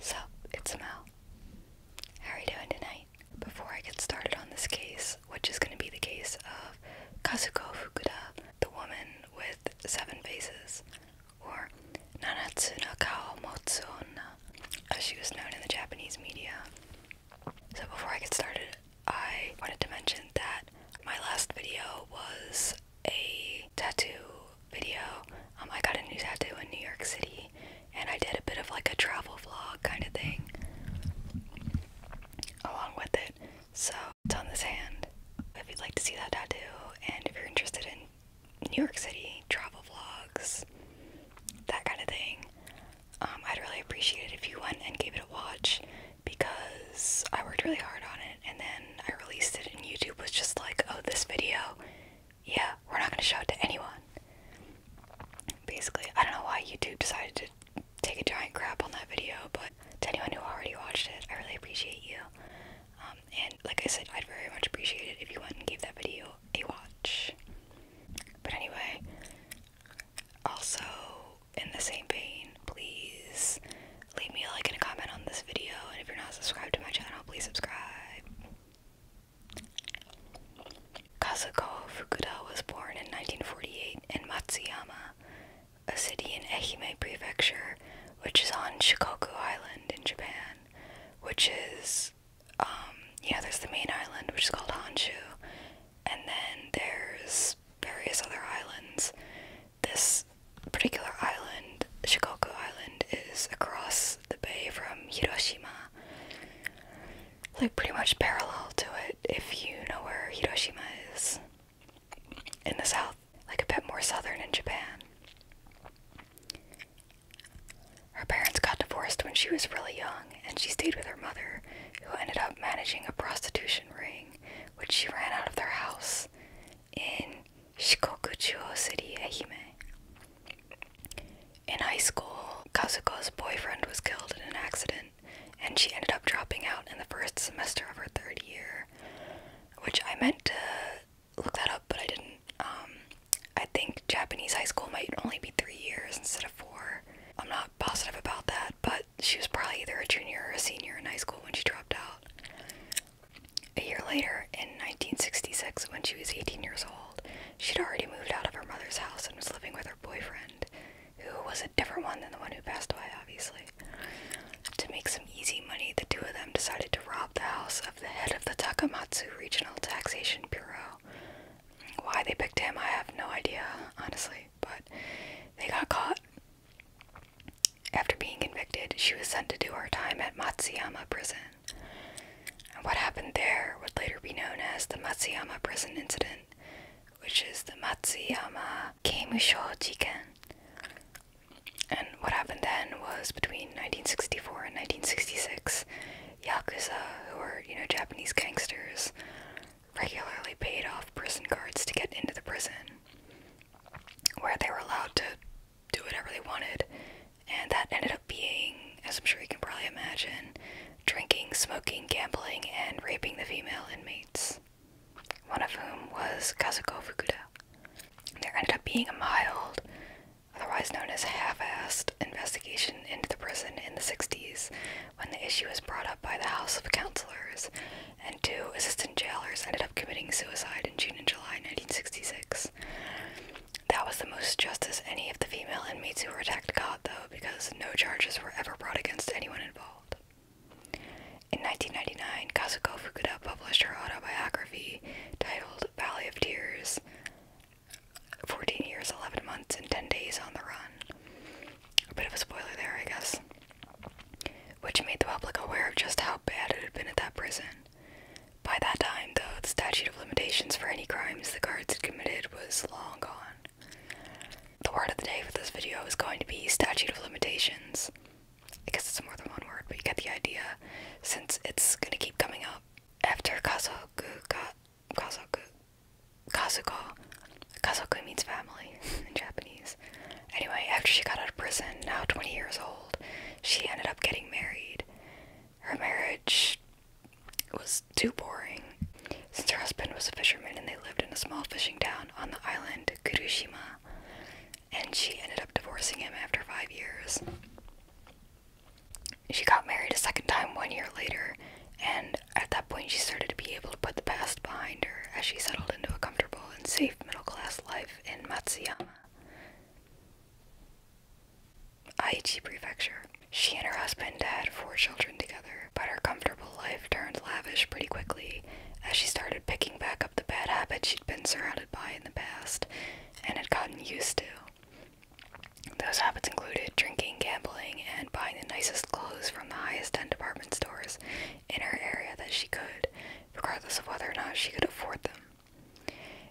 So it's Mel. How are you doing tonight? Before I get started on this case, which is going to be the case of Kazuko Fukuda, the woman with seven faces, or Nanatsu no Kao Onna, as she was known in the Japanese media. So before I get started, I wanted to mention that my last video was a tattoo video. Um, I got a new tattoo in New York City, and I did a bit of like a travel vlog kind of thing along with it. So it's on this hand. If you'd like to see that tattoo, and if you're interested in New York City travel vlogs, that kind of thing, um, I'd really appreciate it if you went and gave it a watch because I worked really hard on it, and then I released it, and YouTube was just like, "Oh, this video yeah, we're not going to show it to anyone. Basically, I don't know why YouTube decided to take a giant crap on that video, but to anyone who already watched it, I really appreciate you. Um, and like I said, I'd very much appreciate it if you went and gave that video a watch. But anyway, also in the same vein, please leave me a like and a comment on this video, and if you're not subscribed to my channel, please subscribe. Kazuko Fukuda was born in 1948 in Matsuyama, a city in Ehime Prefecture, which is on Shikoku Island in Japan, which is, um, yeah, there's the main island, which is called Honshu, and then there's various other islands. This particular island Island. Shikoku Island is across the bay from Hiroshima. Like, pretty much parallel to it if you know where Hiroshima is. In the south, like a bit more southern in Japan. Her parents got divorced when she was really young, and she stayed with her mother, who ended up managing a prostitution ring, which she ran out of their house in 四国中央 city, Ehime. In high school, Kazuko's boyfriend was killed in an accident, and she ended up dropping out in the first semester of her third year, which I meant to look that up, but I didn't. Um, I think Japanese high school might only be three years instead of four. I'm not positive about that, but she was probably either a junior or a senior in high school when she dropped out. A year later, in 1966, when she was 18 years old, she'd already moved out of her mother's house and was living with her boyfriend, who was a different one than the one who passed away, obviously. To make some easy money, the two of them decided to rob the house of the head of the Takamatsu Regional Taxation Bureau. Why they picked him, I have no idea, honestly, but they got caught. After being convicted, she was sent to do her time at Matsuyama Prison. And what happened there would later be known as the Matsuyama prison incident, which is the Matsuyama Keimusho Jiken. And what happened then was between 1964 and 1966, Yakuza, who were, you know, Japanese gangsters, regularly paid off prison guards to get into the prison, where they were allowed to do whatever they wanted. And that ended up being, as I'm sure you can probably imagine, drinking, smoking, gambling, and raping the female inmates, one of whom was Kazuko Fukuda. There ended up being a mild, otherwise known as half assed, investigation into the prison in the 60s when the issue was brought up by the House of Counselors, and two assistant jailers ended up committing suicide in June and July 1966. That was the most justice any of the female inmates who were attacked got, though, because no charges were ever brought against anyone involved. In 1999, Kazuko Fukuda published her autobiography titled Valley of Tears 14 years, 11 months, and 10 days on the run. A bit of a spoiler there, I guess. Which made the public aware of just how bad it had been at that prison. By that time, though, the statute of limitations for any crimes the guards had committed was long gone. The word of the day for this video is going to be statute of limitations. I guess it's more than one word, but you get the idea, since it's gonna keep coming up. After Kazoku got Kazoku Kazuko. Kazoku means family in Japanese. Anyway, after she got out of prison, now 20 years old, she ended up getting married. Her marriage was too boring. Since her husband was a fisherman and they lived in a small fishing town on the island Kurushima, and she ended up divorcing him after five years. She got married a second time one year later, and at that point, she started to be able to put the past behind her as she settled into a comfortable and safe middle class life in Matsuyama. Aichi Prefecture. She and her husband had four children together, but her comfortable life turned lavish pretty quickly as she started picking back up the bad habits she'd been surrounded by in the past and had gotten used to. Those habits included drinking, gambling, and buying the nicest clothes from the highest end department stores in her area that she could, regardless of whether or not she could afford them.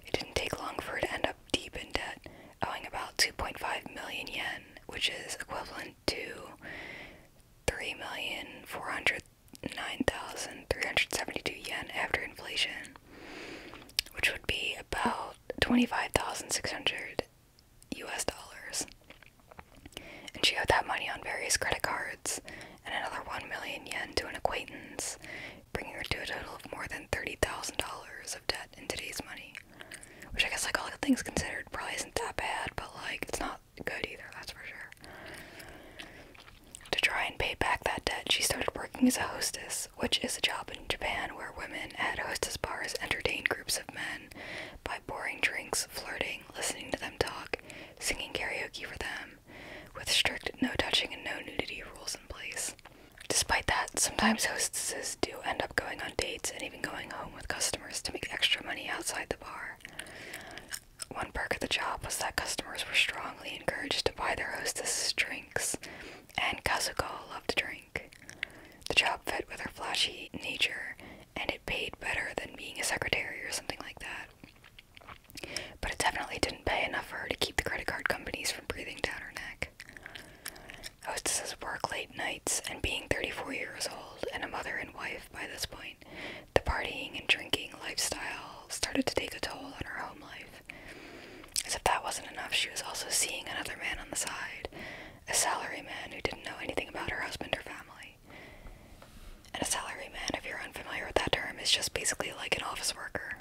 It didn't take long for her to end up deep in debt, owing about 2.5 million yen, which is equivalent to 3,409,372 yen after inflation, which would be about 25,600 US dollars. And she owed that money on various credit cards and another 1 million yen to an acquaintance bringing her to a total of more than $30,000 of debt in today's money. Which I guess, like, all things considered, probably isn't that bad, but, like, it's not good either, that's for sure. To try and pay back that debt, she started working as a hostess, which is a job in Japan where women at hostess bars entertain groups of men by pouring drinks, flirting, listening to them talk, singing karaoke for them, with strict no touching and no nudity rules in place. Despite that, sometimes hostesses do end up going on dates and even going home with customers to make extra money outside the bar. One perk of the job was that customers were strongly encouraged to buy their hostesses drinks, and Kazuko loved to drink. The job fit with her flashy nature, and it paid better than being a secretary or something like that. But it definitely didn't pay enough for her to keep the credit card companies from breathing down her neck. Hostesses oh, work late nights, and being 34 years old and a mother and wife by this point, the partying and drinking lifestyle started to take a toll on her home life. As if that wasn't enough, she was also seeing another man on the side, a salary man who didn't know anything about her husband or family. And a salary man, if you're unfamiliar with that term, is just basically like an office worker.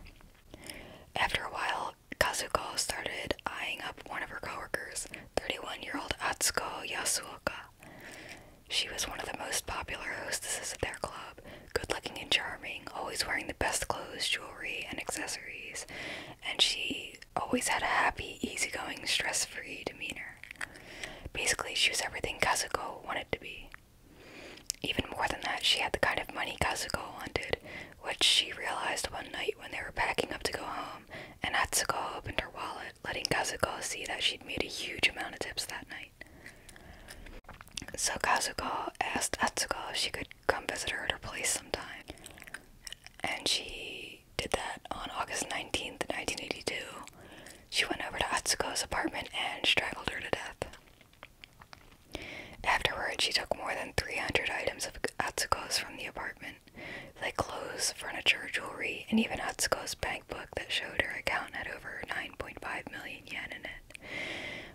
After a while, Kazuko started eyeing up one of her coworkers, 31-year-old Atsuko Yasuoka. She was one of the most popular hostesses at their club, good-looking and charming, always wearing the best clothes, jewelry, and accessories, and she always had a happy, easygoing, stress-free demeanor. Basically, she was everything Kazuko wanted to be. Even more than that, she had the kind of money Kazuko wanted, which she realized one night when they were packing up to go home, and Atsuko opened her wallet, letting Kazuko see that she'd made a huge amount of tips that night. So Kazuko asked Atsuko if she could come visit her at her place sometime, and she did that on August 19th, 1982. She went over to Atsuko's apartment and strangled her to death. Afterward, she took more than 300 items of Atsuko's from the apartment, like clothes, furniture, jewelry, and even Atsuko's bankbook that showed her account had over 9.5 million yen in it,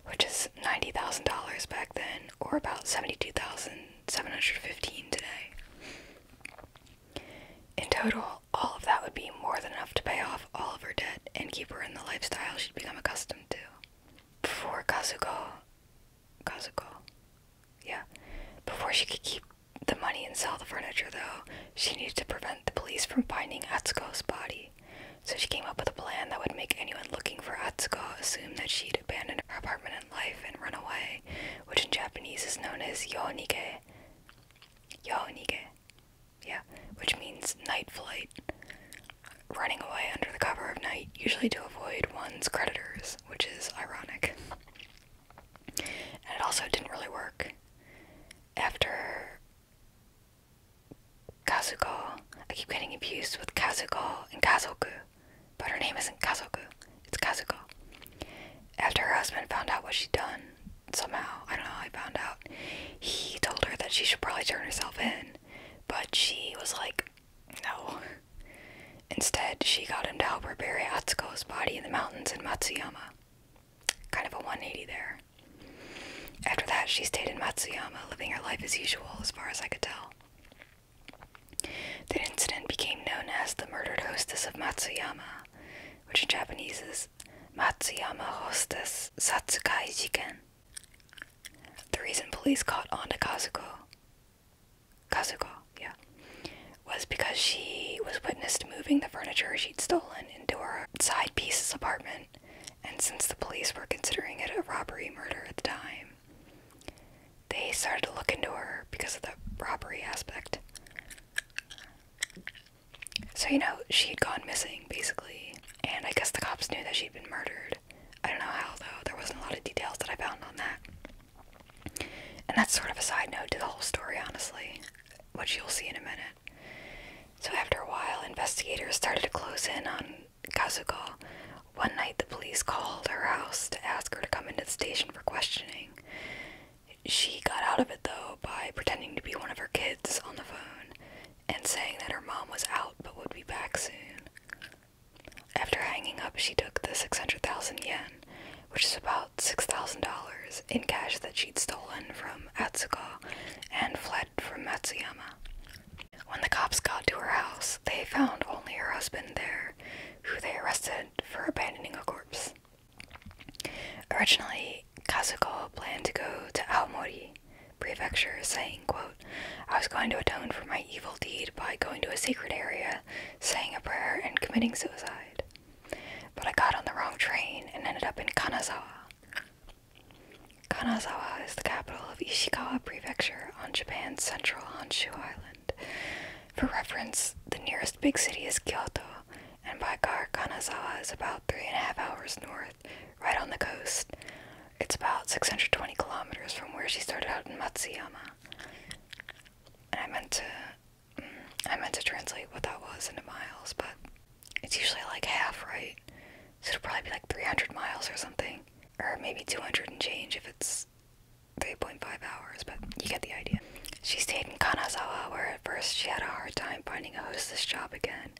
which is $90,000 back then, or about 72,715 today. In total, all of that would be more than enough to pay off all of her debt and keep her in the lifestyle she'd become accustomed to. Before Kazuko, Kazuko, yeah, before she could keep the money and sell the furniture, though, she needed to prevent the police from finding Atsuko's body. So she came up with a plan that would make anyone looking for Atsuko assume that she'd abandoned her apartment and life and run away, which in Japanese is known as yonike. Yonike yeah, which means night flight. Running away under the cover of night, usually to avoid one's creditors, which is ironic. And it also didn't really work. After Kazuko, I keep getting abused with Kazuko and Kazoku, but her name isn't Kazoku, it's Kazuko. After her husband found out what she'd done, somehow, I don't know how I found out, he told her that she should probably turn herself in, but she was like, no. Instead, she got him to help her bury Atsuko's body in the mountains in Matsuyama. Kind of a 180 there. After that, she stayed in Matsuyama, living her life as usual, as far as I could tell. The incident became known as the murdered hostess of Matsuyama, which in Japanese is です松山ホステス殺害事件 The reason police caught on to Kazuko Kazuko, yeah was because she was witnessed moving the furniture she'd stolen into her side piece's apartment and since the police were considering it a robbery murder at the time they started to look into her because of the robbery aspect so, you know, she had gone missing, basically, and I guess the cops knew that she'd been murdered. I don't know how, though. There wasn't a lot of details that I found on that. And that's sort of a side note to the whole story, honestly, which you'll see in a minute. So, after a while, investigators started to close in on Kazuko. One night, the police called her house to ask her to come into the station for questioning. She got out of it, though, by pretending to be one of her kids on the phone and saying that her mom was out but would be back soon. After hanging up, she took the 600,000 yen, which is about $6,000, in cash that she'd stolen from Atsuko and fled from Matsuyama. When the cops got to her house, they found only her husband there, who they arrested for abandoning a corpse. Originally, Kazuko planned to go to Aomori Prefecture is saying, quote, I was going to atone for my evil deed by going to a sacred area, saying a prayer, and committing suicide. But I got on the wrong train and ended up in Kanazawa. Kanazawa is the capital of Ishikawa Prefecture on Japan's central Honshu Island. For reference, the nearest big city is Kyoto, and by car, Kanazawa is about three and a half hours north, right on the coast. It's about 620 kilometers from where she started out in Matsuyama. And I meant to, mm, I meant to translate what that was into miles, but it's usually like half, right? So it'll probably be like 300 miles or something, or maybe 200 and change if it's 3.5 hours. But you get the idea. She stayed in Kanazawa, where at first she had a hard time finding a hostess job again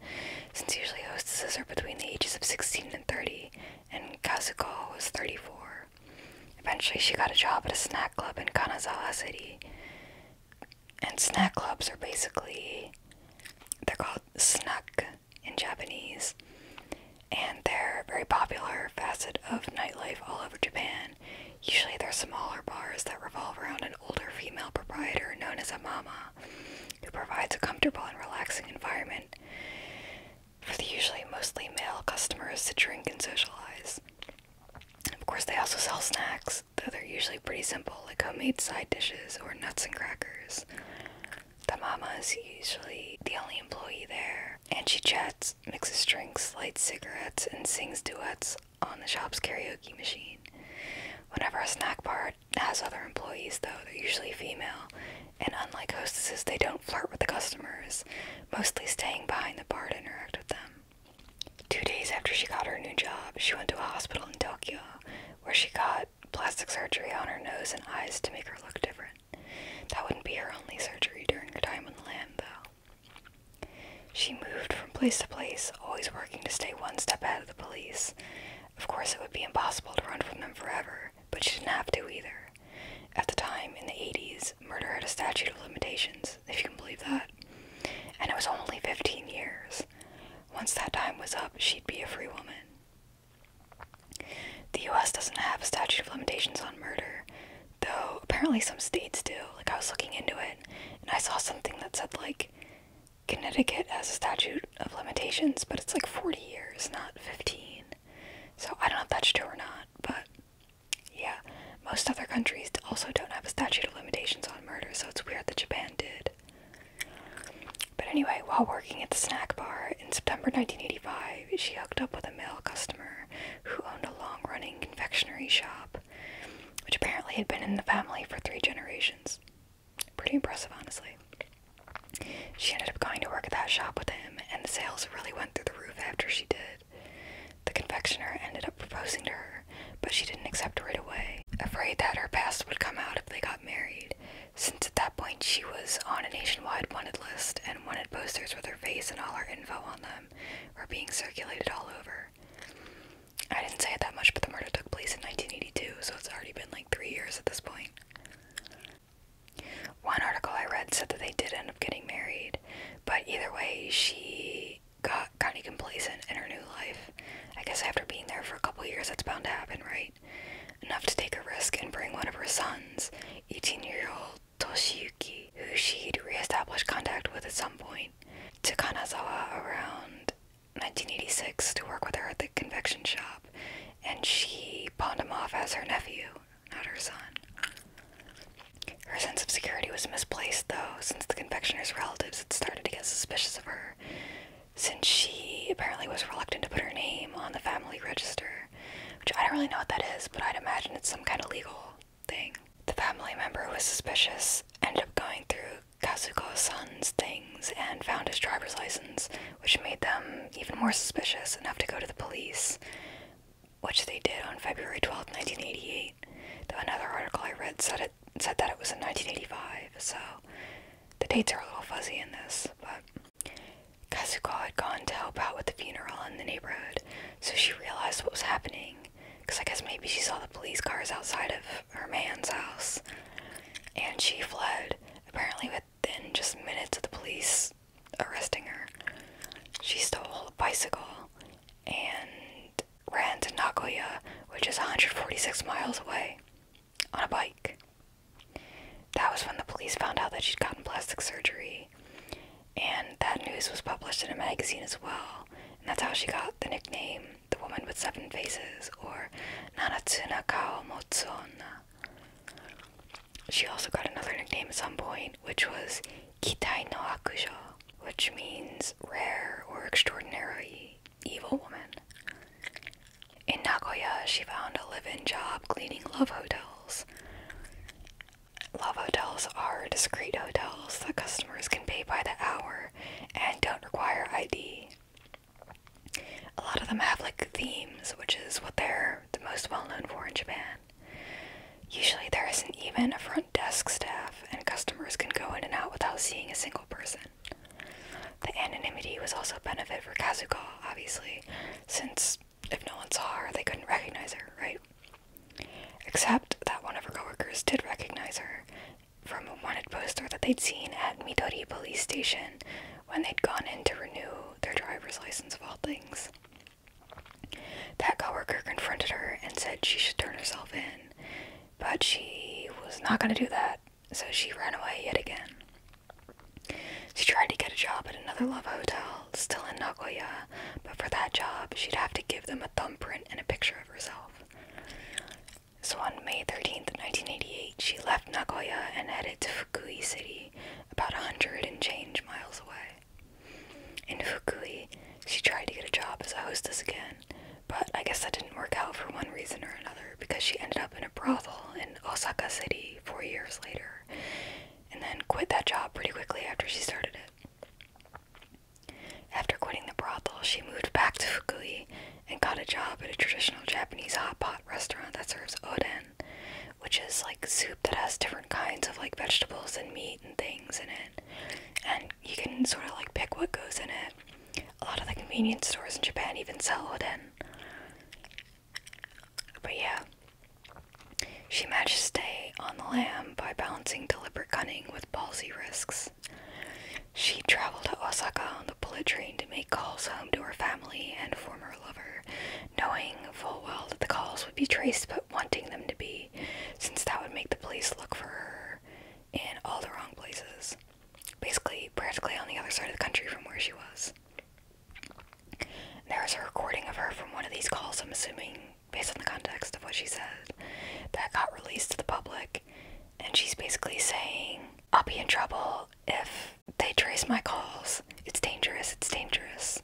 since usually hostesses are between the ages of 16 and 30, and Kazuko was 34. Eventually, she got a job at a snack club in Kanazawa City. And snack clubs are basically, they're called snuck in Japanese. And they're a very popular facet of nightlife all over Japan. Usually, they're smaller bars that revolve around an older female proprietor known as a mama who provides a comfortable and relaxing environment for the usually mostly male customers to drink and socialize. Of course, they also sell snacks, though they're usually pretty simple, like homemade side dishes or nuts and crackers. The mama is usually the only employee there, and she chats, mixes drinks, lights cigarettes, and sings duets, on the shop's karaoke machine. Whenever a snack bar has other employees, though, they're usually female, and unlike hostesses, they don't flirt with the customers, mostly staying behind the bar to interact with them. Two days after she got her new job, she went to a hospital in Tokyo where she got plastic surgery on her nose and eyes to make her look different. That wouldn't be her only surgery during her time on the land, though. She moved from place to place, always working to stay one step ahead of the police. Of course, it would be impossible to run from them forever, but she didn't have to either. At the time, in the 80s, murder had a statute of limitations, if you can believe that, and it was only 15 years. Once that time was up, she'd be a free woman. The US doesn't have a statute of limitations on murder, though apparently some states do. Like, I was looking into it, and I saw something that said, like, Connecticut has a statute of limitations, but it's like 40 years, not 15. So I don't know if that's true or not, but yeah. Most other countries also don't have a statute of limitations on murder, so it's weird that Japan did. But anyway, while working at the snack bar in September 1985, she hooked up with a male customer who owned a long running confectionery shop, which apparently had been in the family for three generations. Pretty impressive, honestly. She ended up going to work at that shop with him, and the sales really went through the roof after she did. The confectioner ended up proposing to her, but she didn't accept right away, afraid that her past would come out if they got married, since at that point she was on a nationwide wanted list, and wanted posters with her face and all her info on them were being circulated all over. I didn't say it that much, but the murder took place in 1982, so it's already been like three years at this point. One article I read said that they did end up getting married, but either way, she got kind of complacent in her new life. I guess after being there for a couple years, that's bound to happen, right? Enough to take a risk and bring one of her sons, 18 year old Toshiyuki, who she'd reestablished contact with at some point, to Kanazawa around 1986 to work with her at the confection shop, and she pawned him off as her nephew, not her son. Her sense of security was misplaced, though, since the confectioner's relatives had started to get suspicious of her, since she apparently was reluctant to put her name on the family register, which I don't really know what that is, but I'd imagine it's some kind of legal thing. The family member who was suspicious ended up going through kazuko Son's things and found his driver's license, which made them even more suspicious enough to go to the police, which they did on February 12, 1988. Though another article I read said it said that it was in 1985, so the dates are a little fuzzy in this, but Kazuko had gone to help out with the funeral in the neighborhood, so she realized what was happening. Because I guess maybe she saw the police cars outside of her man's house, and she fled, apparently within just minutes of the police arresting her. She stole a bicycle and ran to Nagoya, which is 146 miles away, on a bike. That was when the police found out that she'd gotten plastic surgery, and that news was published in a magazine as well, and that's how she got the nickname the Woman with Seven Faces, or Nanatsuna Kao Motsona. She also got another nickname at some point, which was Kitai no Akujo, which means rare or extraordinary evil woman. In Nagoya, she found a living job cleaning love hotels. Love hotels are discreet hotels that customers can pay by the hour and don't require ID. A lot of them have like themes, which is what they're the most well known for in Japan. Usually, there isn't even a front desk staff, and customers can go in and out without seeing a single person. The anonymity was also a benefit for Kazuko, obviously, since if no one saw her, they couldn't recognize her, right? Except that one of her coworkers did recognize her from a wanted poster that they'd seen at Midori police station when they'd gone in to renew their driver's license of all things. That coworker confronted her and said she should turn herself in, but she was not going to do that, so she ran away yet again. She tried to get a job at another love hotel, still in Nagoya, but for that job she'd have to give them a thumbprint and a picture of herself. So on May 13th, 1988, she left Nagoya and headed to Fukui City, about 100 and change miles away. In Fukui, she tried to get a job as a hostess again, but I guess that didn't work out for one reason or another because she ended up in a brothel in Osaka City four years later and then quit that job pretty quickly after she started it. After quitting the brothel, she moved back to Fukui and got a job at a traditional Japanese hot pot restaurant that serves oden, which is like soup that has different kinds of like vegetables and meat and things in it. And you can sort of like pick what goes in it. A lot of the convenience stores in Japan even sell oden. But yeah, she managed to stay on the lamb by balancing deliberate cunning with palsy risks. She traveled to Osaka on the bullet train to make calls home to her family and former lover, knowing full well that the calls would be traced but wanting them to be, since that would make the police look for her in all the wrong places. Basically, practically on the other side of the country from where she was. There is a recording of her from one of these calls, I'm assuming, based on the context of what she said, that got released to the public and she's basically saying, I'll be in trouble if they trace my calls. It's dangerous, it's dangerous.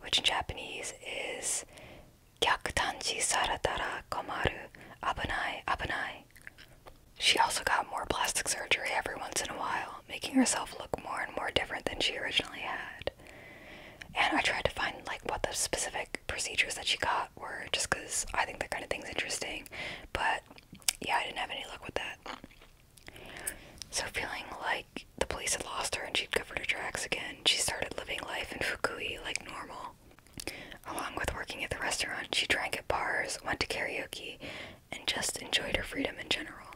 Which in Japanese is, Gyakutanji saratara komaru, abunai, abunai. She also got more plastic surgery every once in a while, making herself look more and more different than she originally had. And I tried to find like what the specific procedures that she got that word just because I think that kind of thing's interesting. But yeah, I didn't have any luck with that. So, feeling like the police had lost her and she'd covered her tracks again, she started living life in Fukui like normal. Along with working at the restaurant, she drank at bars, went to karaoke, and just enjoyed her freedom in general.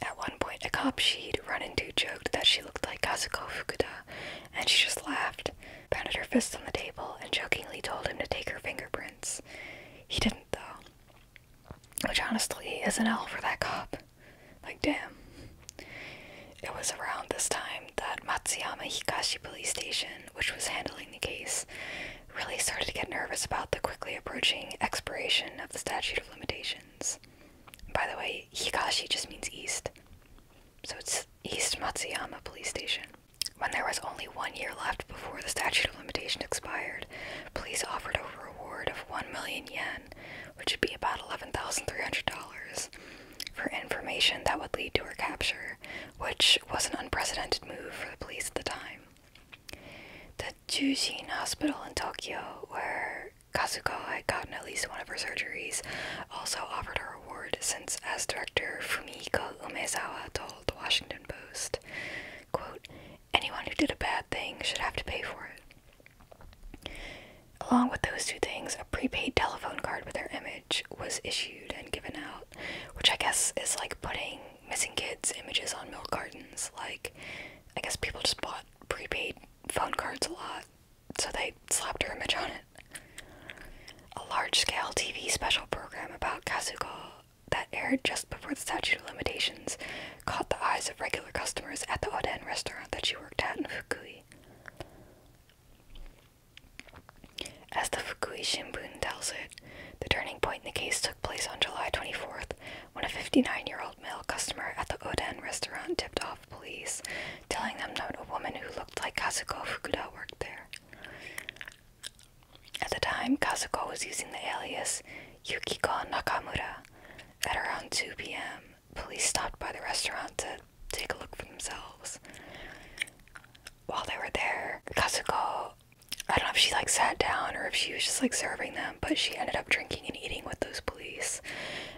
At one point, a cop she'd run into joked that she looked like Kazuko Fukuda, and she just laughed, pounded her fists on the table, and jokingly told him to take her fingerprints. He didn't, though. Which honestly is an L for that cop. Like, damn. It was around this time that Matsuyama Higashi Police Station, which was handling the case, really started to get nervous about the quickly approaching expiration of the statute of limitations. By the way, Higashi just means east. So it's East Matsuyama Police Station. When there was only one year left before the statute of limitations expired, police offered a reward of 1 million yen, which would be about $11,300, for information that would lead to her capture, which was an unprecedented move for the police at the time. The Jujin Hospital in Tokyo, where Kazuko had gotten at least one of her surgeries, also offered her award since, as director, Fumihiko Umezawa told the Washington Post, quote, anyone who did a bad thing should have to pay for it. Along with those two things, a prepaid telephone card with their image was issued and given out, which I guess is like putting missing kids' images on milk cartons. Like, I guess people just bought prepaid phone cards a lot so they slapped her image on it. A large scale TV special program about Kazuko that aired just before the statute of limitations caught the eyes of regular customers at the Oden restaurant that she worked at in Fukui. As the Fukui Shimbun tells it, the turning point in the case took place on July 24th when a 59 year old male customer at the Oden restaurant tipped off police, telling them that a woman who looked like Kazuko Fukuda worked there. At the time, Kazuko was using the alias Yukiko Nakamura. At around 2 p.m., police stopped by the restaurant to take a look for themselves. While they were there, Kazuko, I don't know if she like sat down or if she was just like serving them, but she ended up drinking and eating with those police.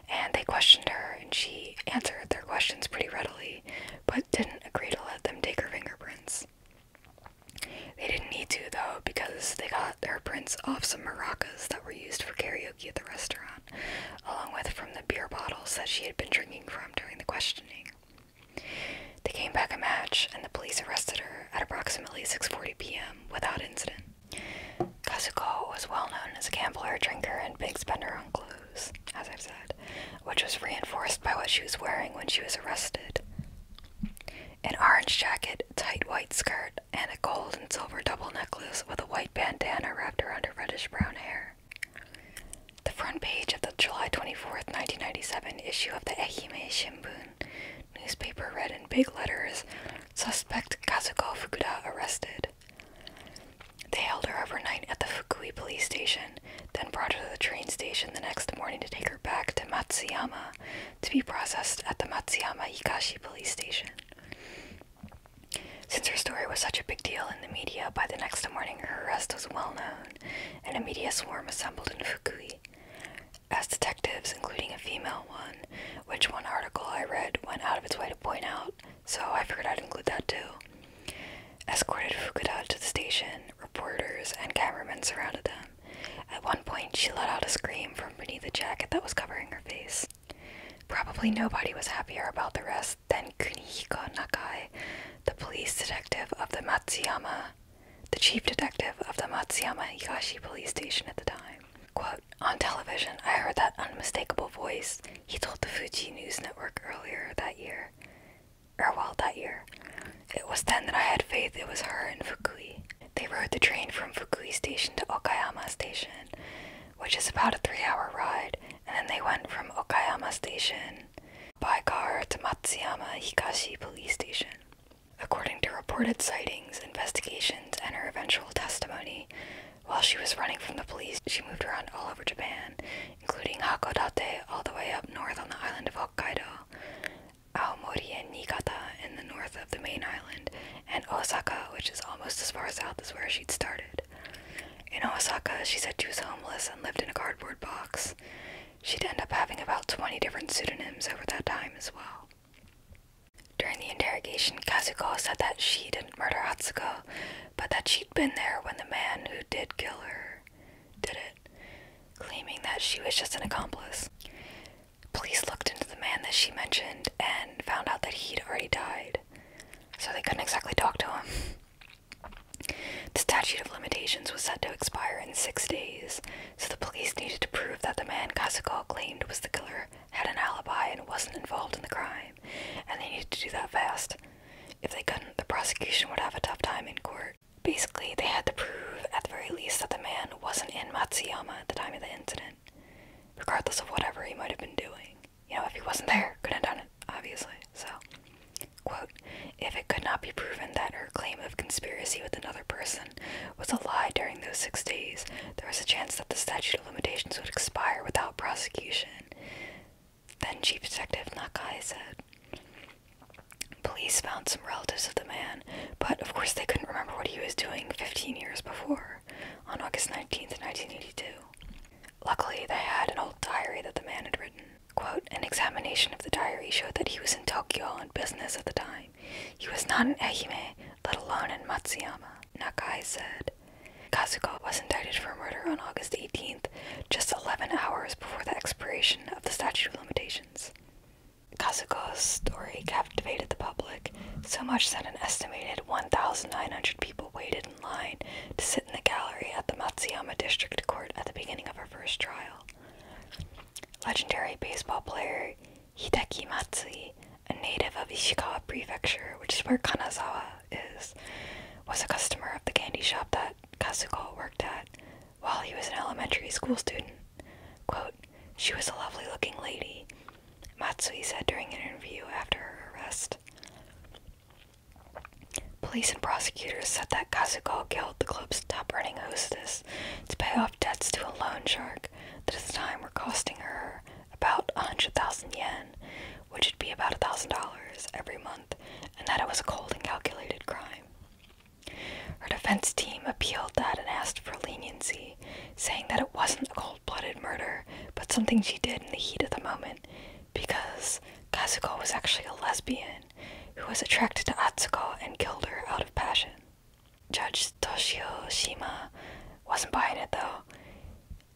And they questioned her, and she answered their questions pretty readily, but didn't agree to let them take her fingerprints. They didn't need to, though, because they got her prints off some maracas that were used for karaoke at the restaurant, along with from the beer bottles that she had been drinking from during the questioning. They came back a match, and the police arrested her at approximately 6:40 p.m. without incident. Kazuko was well known as a gambler, drinker, and big spender on clothes as I've said, which was reinforced by what she was wearing when she was arrested. An orange jacket, tight white skirt, and a gold and silver double necklace with a white bandana wrapped around her reddish brown hair. The front page of the July 24, 1997 issue of the Ehime Shimbun newspaper read in big letters Suspect Kazuko Fukuda arrested. They held her overnight at the Fukui police station, then brought her to the train station the next morning to take her back to Matsuyama to be processed at the Matsuyama Ikashi police station. Since her story was such a big deal in the media, by the next morning her arrest was well known, and a media swarm assembled in Fukui. As detectives, including a female one, which one article I read went out of its way to point out, so I figured I'd include that too. Escorted Fukuda to the station, reporters and cameramen surrounded them. At one point, she let out a scream from beneath the jacket that was covering her face. Probably nobody was happier about the rest than Kunihiko Nakai, the police detective of the Matsuyama, the chief detective of the Matsuyama Higashi police station at the time. Quote, on television, I heard that unmistakable voice, he told the Fuji News Network earlier that year, or well, that year. It was then that I had faith it was her and Fukui. They rode the train from Fukui Station to Okayama Station, which is about a three hour ride, and then they went from Okayama Station by car to Matsuyama Higashi Police Station. According to reported sightings, investigations, and her eventual testimony, while she was running from the police, she moved around all over Japan, including Hakodate all the way up north on the island of Hokkaido, Aomori and Niigata in the north of the main island, and Osaka, which is almost as far south as where she'd started. In Osaka, she said she was homeless and lived in a cardboard box. She'd end up having about 20 different pseudonyms over that time as well. During the interrogation, Kazuko said that she didn't murder Hatsuko, but that she'd been there when the man who did kill her did it, claiming that she was just an accomplice. Police looked into the man that she mentioned and found out that he'd already died, so they couldn't exactly talk to him. The statute of limitations was set to expire in six days, so the police needed to prove that the man Kasuko claimed was the killer had an alibi and wasn't involved in the crime, and they needed to do that fast. If they couldn't, the prosecution would have a tough time in court. Basically, they had to prove, at the very least, that the man wasn't in Matsuyama at the time of the incident, regardless of whatever he might have been doing. You know, if he wasn't there, couldn't have done it, obviously. So, quote, if it could not be proven that her claim of conspiracy with another person was a lie during those six days, there was a chance that the statute of limitations would expire without prosecution. Then Chief Detective Nakai said. Police found some relatives of the man, but of course they couldn't remember what he was doing 15 years before, on August 19, 1982. Luckily, they had an old diary that the man had written. Quote, an examination of the diary showed that he was in Tokyo on business at the time. He was not in Ehime, let alone in Matsuyama, Nakai said. Kazuko was indicted for murder on August 18th, just 11 hours before the expiration of the statute of limitations. Kazuko's story captivated the public so much that an estimated 1,900 people waited in line to sit in the gallery at the Matsuyama District Court at the beginning of her first trial. Legendary baseball player Hideki Matsui, a native of Ishikawa Prefecture, which is where Kanazawa is was a customer of the candy shop that Kazuko worked at while he was an elementary school student. Quote, she was a lovely looking lady, Matsui said during an interview after her arrest. Police and prosecutors said that Kazuko killed the club's top ranking hostess to pay off debts to a loan shark that at the time were costing her about 100,000 yen which would be about $1,000 every month, and that it was a cold and calculated crime. Her defense team appealed that and asked for leniency, saying that it wasn't a cold blooded murder, but something she did in the heat of the moment, because Kazuko was actually a lesbian who was attracted to Atsuko and killed her out of passion. Judge Toshio Shima wasn't buying it though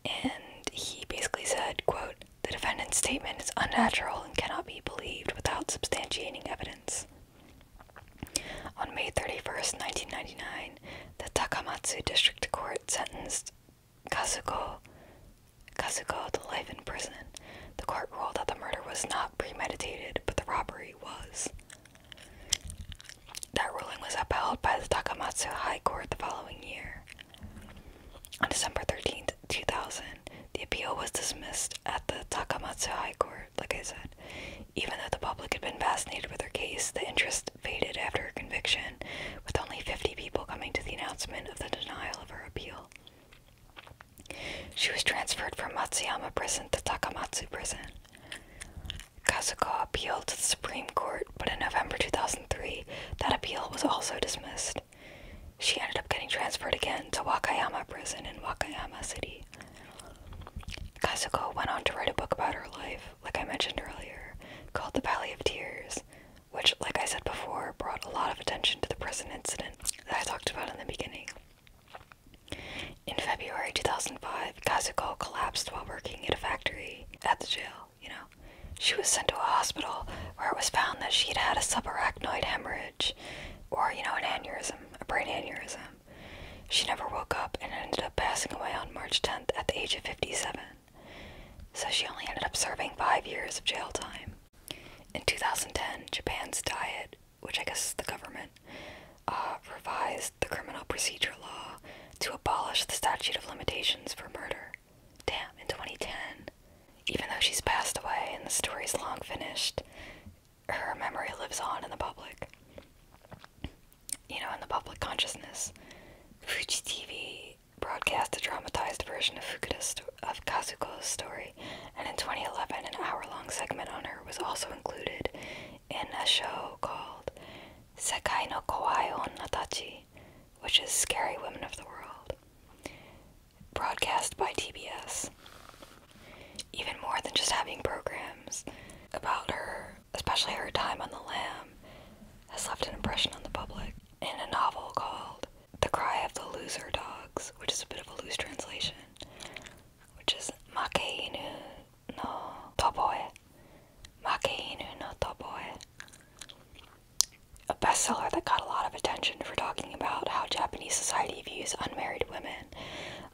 and he basically said, quote, the defendant's statement is unnatural and cannot be believed without substantiating evidence. On May 31st, 1999, the Takamatsu District Court sentenced Kazuko, Kazuko to life in prison. The court ruled that the murder was not premeditated, but the robbery was. That ruling was upheld by the Takamatsu High Court the following year. On December 13th, 2000, the appeal was dismissed at the Takamatsu High Court, like I said. Even though the public had been fascinated with her case, the interest faded after her conviction, with only 50 people coming to the announcement of the denial of her appeal. She was transferred from Matsuyama Prison to Takamatsu Prison. Kazuko appealed to the Supreme Court but in November 2003, that appeal was also dismissed. She ended up getting transferred again to Wakayama Prison in Wakayama City. Kazuko went on to write a book about her life, like I mentioned earlier, called The Valley of Tears, which, like I said before, brought a lot of attention to the prison incident that I talked about in the beginning. In February 2005, Kazuko collapsed while working at a factory at the jail you know. She was sent to a hospital where it was found that she'd had a subarachnoid hemorrhage or, you know, an aneurysm, a brain aneurysm. She never woke up and ended up passing away on March 10th at the age of 57. So she only ended up serving five years of jail time. In 2010, Japan's Diet, which I guess is the government, uh, revised the criminal procedure law to abolish the statute of limitations for murder. Damn, in 2010, even though she's passed away and the story's long finished, her memory lives on in the public. You know, in the public consciousness. Fuji TV broadcast a dramatized version of, Fukuda's of Kazuko's story, and in 2011, an hour long segment on her was also included in a show called Sekai no Kawaii Onnatachi, which is Scary Women of the World, broadcast by TBS. Even more than just having programs about her, especially her time on the lam, has left an impression on the public. In a novel called The Cry of the Loser Dogs, which is a bit of a loose translation, which is inu no Toboe, Makeinu no Toboe, a bestseller that got a lot of attention for talking about how Japanese society views unmarried women.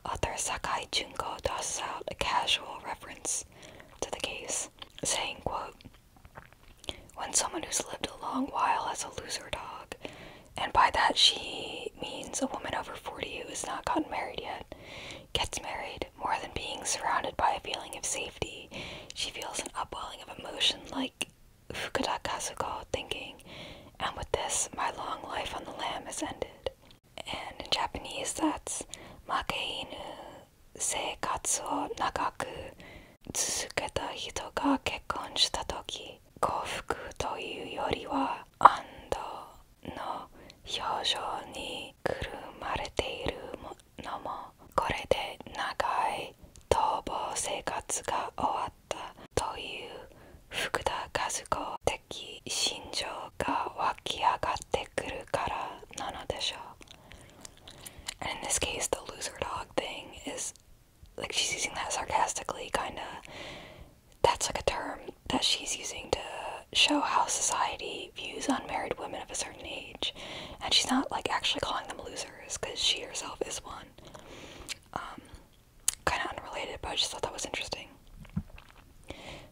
Author Sakai Junko tosses out a casual reference to the case, saying, quote, when someone who's lived a long while as a loser dog, and by that she means a woman over 40 who has not gotten married yet, gets married, need. More than being surrounded by a feeling of safety, she feels an upwelling of emotion like Fukuda Kazuko thinking, and with this, my long life on the lam has ended. And in Japanese, that's Makeinu Seikatsu o Nagaku Tsuzuketa Hito ga Kekkon shita toki, Kofuku toiu yori wa Ando no Hyoujou ni Kurumarete iru のもこれで長い逃亡生活が終わったという福田和子的心情が湧き上がってくるからなのでしょう。And in this case, the loser dog thing is like she's using that sarcastically, kinda. That's like a term that she's using to show how society views unmarried women of a certain age, and she's not like actually calling them losers because she herself is one. Um, kind of unrelated, but I just thought that was interesting.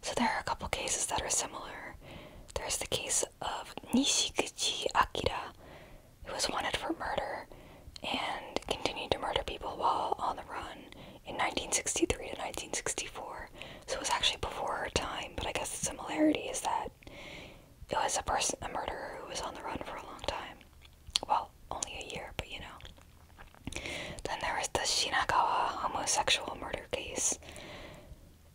So there are a couple cases that are similar. There's the case of Nishiguchi Akira, who was wanted for murder and continued to murder people while on the run in 1963 to 1964. So it was actually before her time, but I guess the similarity is that it was a person, a murderer who was on the run for a long time. Well, only a year, but you know. Then there was the Shinagawa homosexual murder case.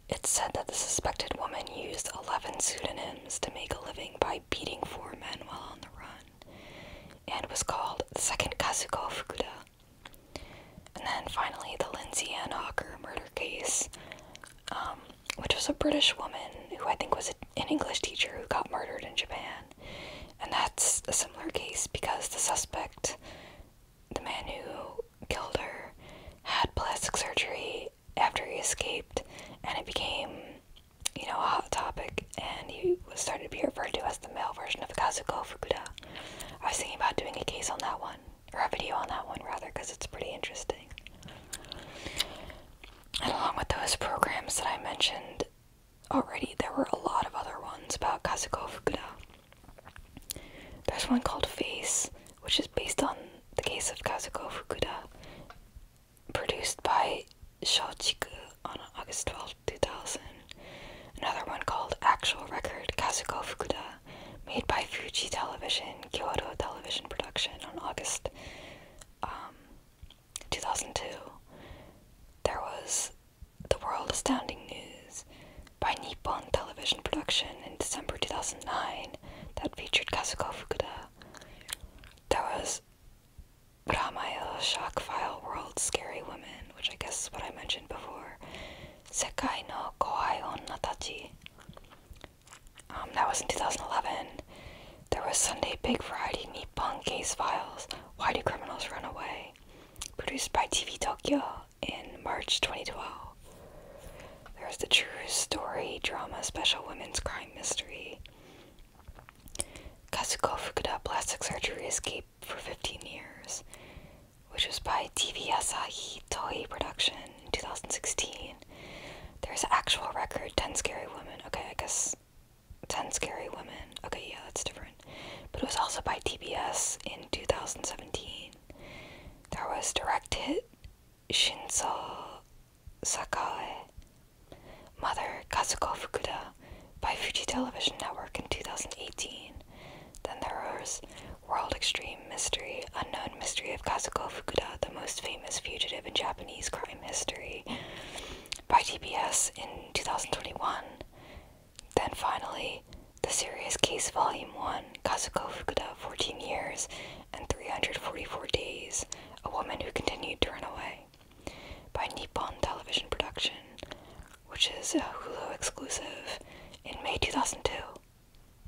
It's said that the suspected woman used 11 pseudonyms to make a living by beating four men while on the run, and was called the second Kazuko Fukuda. And then finally, the Lindsay Ann Hawker murder case, um, which was a British woman who I think was an English teacher who got murdered in Japan. And that's a similar case because the suspect, the man who killed her, had plastic surgery after he escaped, and it became, you know, a hot topic. And he was starting to be referred to as the male version of Kazuko Fukuda. I was thinking about doing a case on that one or a video on that one rather, because it's pretty interesting. And along with those programs that I mentioned already, there were a lot of other ones about Kazuko Fukuda. There's one called Face, which is based on the case of Kazuko Fukuda, produced by Shochiku on August 12, 2000. Another one called Actual Record Kazuko Fukuda, made by Fuji Television, Kyoto Television Production on August um, 2002. There was The World Astounding News by Nippon Television Production in December 2009 that featured Kazuko Fukuda. There was Ramayo Shock File World Scary Women, which I guess is what I mentioned before. Sekai no Kohai Onna Tachi. Um, that was in 2011. There was Sunday Big Variety Nippon Case Files Why Do Criminals Run Away? Produced by TV Tokyo in March 2012. There's the True Story Drama Special Women's Crime Mystery. Kasuko Fukuda Plastic Surgery Escape for 15 Years which was by TV Asahi Toei Production in 2016. There's actual record, 10 Scary Women. Okay, I guess 10 Scary Women. Okay, yeah, that's different. But it was also by TBS in 2017. There was directed Shinzo Sakae, Mother Kazuko Fukuda by Fuji Television Network in 2018. Then there was World Extreme Mystery, Unknown Mystery of Kazuko Fukuda, the most famous fugitive in Japanese crime history, by TBS in 2021. Then finally, The Serious Case Volume 1, Kazuko Fukuda, 14 Years and 344 Days, A Woman Who Continued to Run Away, by Nippon Television Production, which is a Hulu exclusive in May 2002.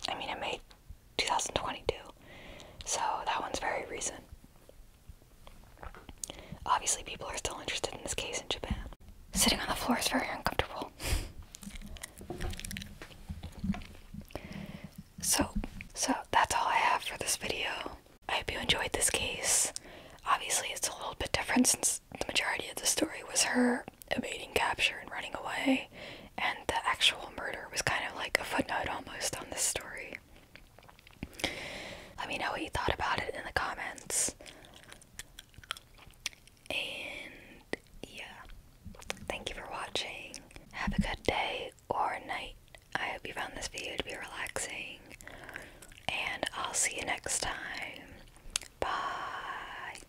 I mean, it made 2022, so that one's very recent. Obviously, people are still interested in this case in Japan. Sitting on the floor is very uncomfortable. so, so that's all I have for this video. I hope you enjoyed this case. Obviously, it's a little bit different since the majority of the story was her evading capture and running away, and the actual murder was kind of like a footnote almost on this story. Let me know what you thought about it in the comments. And yeah, thank you for watching. Have a good day or night. I hope you found this video to be relaxing, and I'll see you next time. Bye.